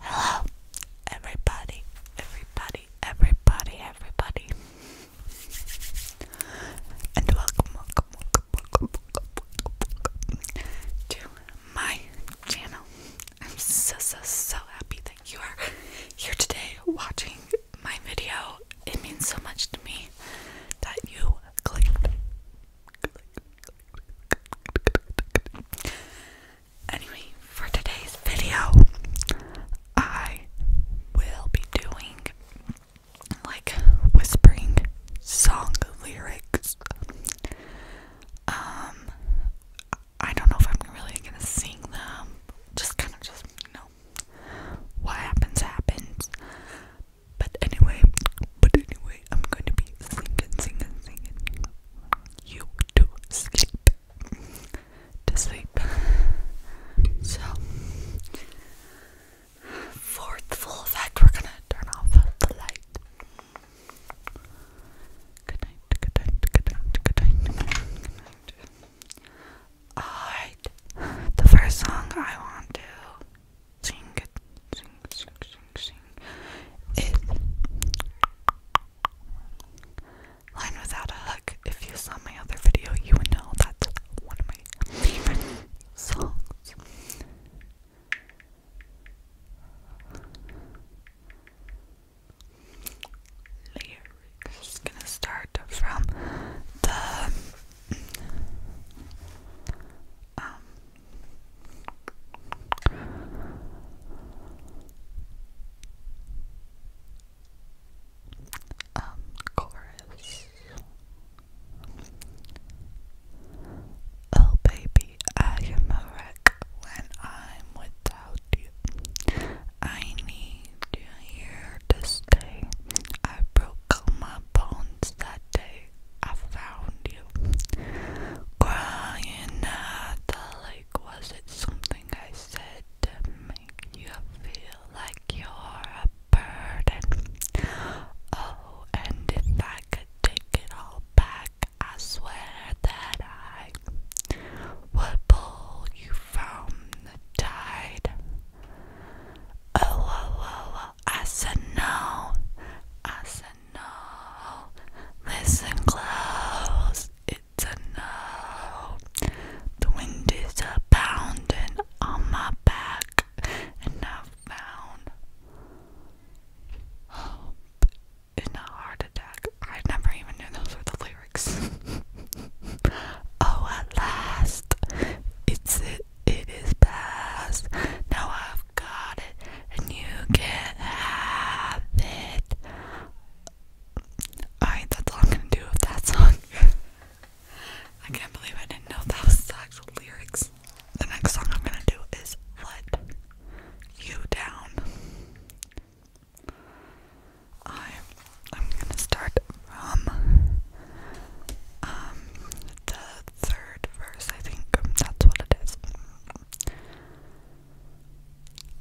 Hello, everybody, everybody, everybody, everybody, and welcome, welcome, welcome, welcome, welcome, to my channel. I'm so, so, so happy that you are here today watching my video. It means so much to me that you clicked. Anyway, for today's video, I will be doing like whispering song lyrics. Um, I don't know if I'm really gonna sing them. Just kind of just you know what happens happens. But anyway, but anyway, I'm going to be singing, singing, singing you to sleep, to sleep. So, for the full effect, we're gonna turn off the light. Good night, good night, good night, good night, Alright, the first song I want to sing it, sing, sing, sing, sing it. Line without a hook. If you saw my other video, you would know that's one of my favorite songs. Lyrics. Gonna start from the um, um, chorus. Oh, baby, I am a wreck when I'm without you. I need you here to stay. I broke all that day I found you. Crying at the lake, was it something I said to make you feel like you're a burden? Oh, and if I could take it all back, I swear that I would pull you from the tide. Oh, oh, oh, oh, I said no. I said no. Listen close, it's a no. The wind is pounding on my back, and I've found hope in a heart attack. I never even knew those were the lyrics. oh, at last, it's it, it is past. Now I've got it, and you can't have it. Alright, that's all I'm gonna do with that song. I can't believe I didn't know that was the actual lyrics. The next song I'm gonna do is Let You Down. I I'm gonna start from um the third verse, I think that's what it is.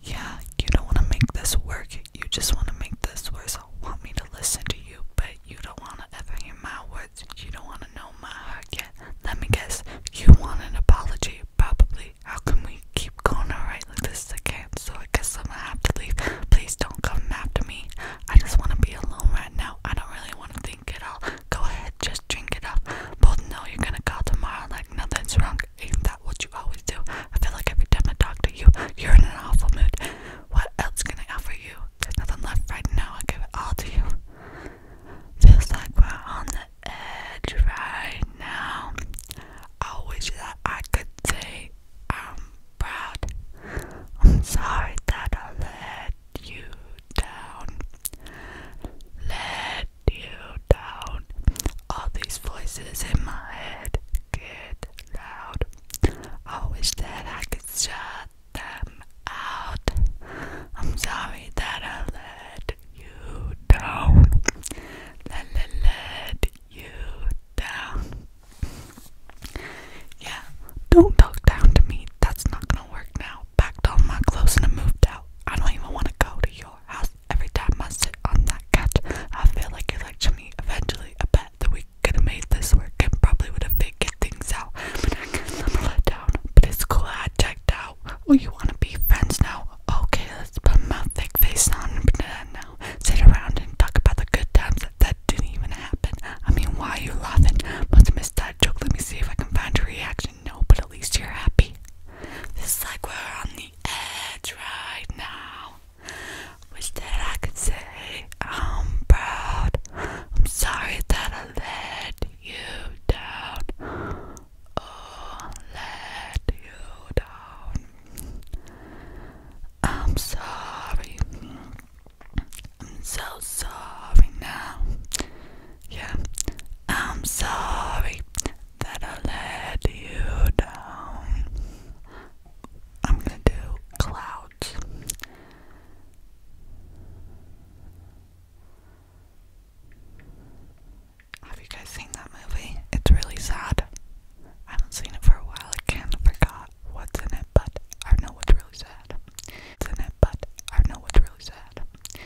Yeah, you don't wanna make this work, you just wanna make this worse. Want me to listen to you, but you don't wanna ever hear my words, you don't wanna know my heart yet. Let me guess, you want an apology, probably. How can we keep going alright like this again? so I guess I'm gonna have to leave. Please don't come after me. I just wanna be alone right now. I don't really wanna think at all. Go ahead, just drink it up. But know you're gonna call tomorrow like nothing's wrong. Ain't that what you always do? I feel like every time I talk to you, you're in an awful mood. What else can I offer you? There's nothing left right now. I give it all to you. Feels like we're on the edge right now. I wish that I could say I'm proud. I'm sorry that I let you down. Let you down. All these voices in my head get loud. I wish that I could shut them out. I'm sorry that I let you down. Let, let, let you down. Yeah, don't talk down to me. That's not gonna work now. Packed all my clothes and I moved out. I don't even wanna go to your house. Every time I sit on that couch, I feel like you're me. Eventually, I bet that we could have made this work and probably would have figured things out. But I guess I'm let down. But it's cool. I checked out. Oh, you wanna be friends now? Okay, put my fake face on and pretend now. Sit around and talk about the good times that, that didn't even happen. I mean, why are you laughing? Must have that joke. Let me see if I can find your reaction. No, but at least you're happy. This is like we're on the edge right now. Wish that I could say I'm proud. I'm sorry that I let you down oh, let you down. I'm sorry. I'm so sorry now. Yeah, I'm sorry that I let you down. I'm gonna do clouds. Have you guys seen that movie? It's really sad. I haven't seen it for a while. I kind of forgot what's in it, but I know what's It's know what's really sad.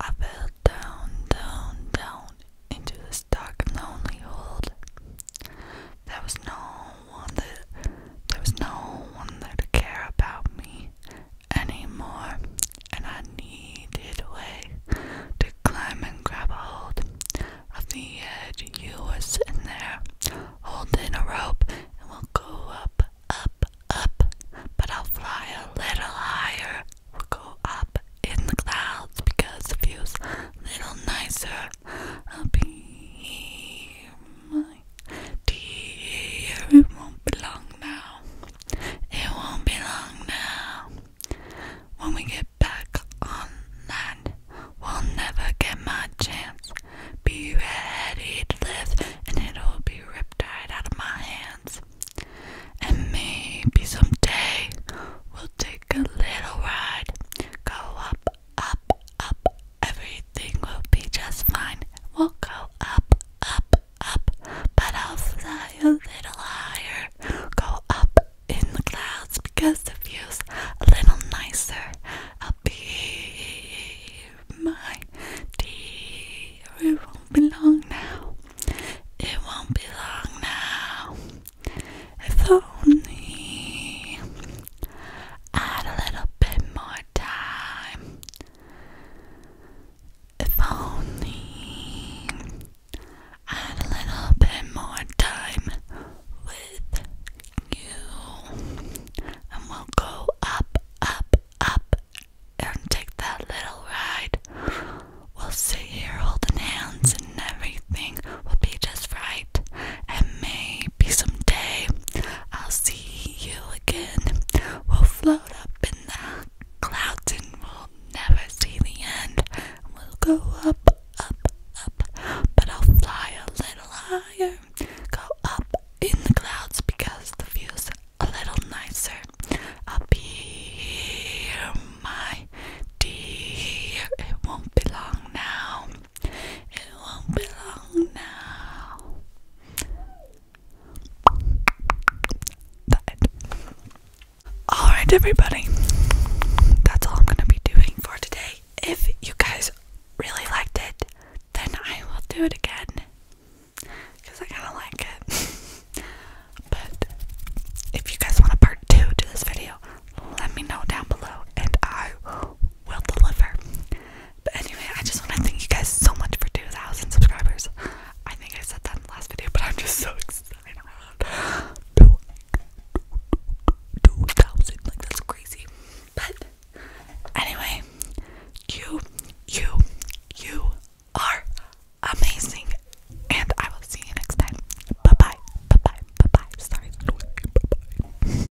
I fell down, down, down into this dark lonely hold. There was no one that there was no one there to care about me anymore, and I needed a way to climb and grab a hold of the edge. You were sitting there, holding a rope, and we'll go up, up, up, but I'll fly a little higher. We'll go up in the clouds because it view's a little nicer. I'll be my dear, it won't be long now. It won't be long now. When we get back on land, we'll never get my chance. Be ready to live, and it'll be ripped right out of my hands. And maybe someday we'll take a little ride, go up, up, up. Everything will be just fine. We'll go up, up, up, but I'll fly a little higher. Go up in the clouds because the view's a little nicer. I'll be my dear. It won't be long now. It won't be long now. If only I had a little bit more time. If only I had a little bit more time with you, and we'll go up, up, up, and take that little ride. We'll sit here holding hands, and everything will be just right. And maybe someday I'll see you again. We'll float up in the clouds and we'll never see the end. We'll go up, up, up, but I'll fly a little higher. Go up in the clouds because the view's a little nicer. I'll be here, my dear. It won't be long now. It won't be long now. Alright, everybody. That's all I'm going to be doing for today. If you guys really liked it, then I will do it again. Because I kind of like it. but if you guys want a part two to this video, let me know down below and I will deliver. But anyway, I just want to thank you guys so much for 2,000 subscribers. I think I said that in the last video, but I'm just so excited. 2,000, like that's crazy. But anyway, you, you, you are amazing. And I will see you next time. Bye bye. Bye bye. Bye bye. Sorry. Bye bye.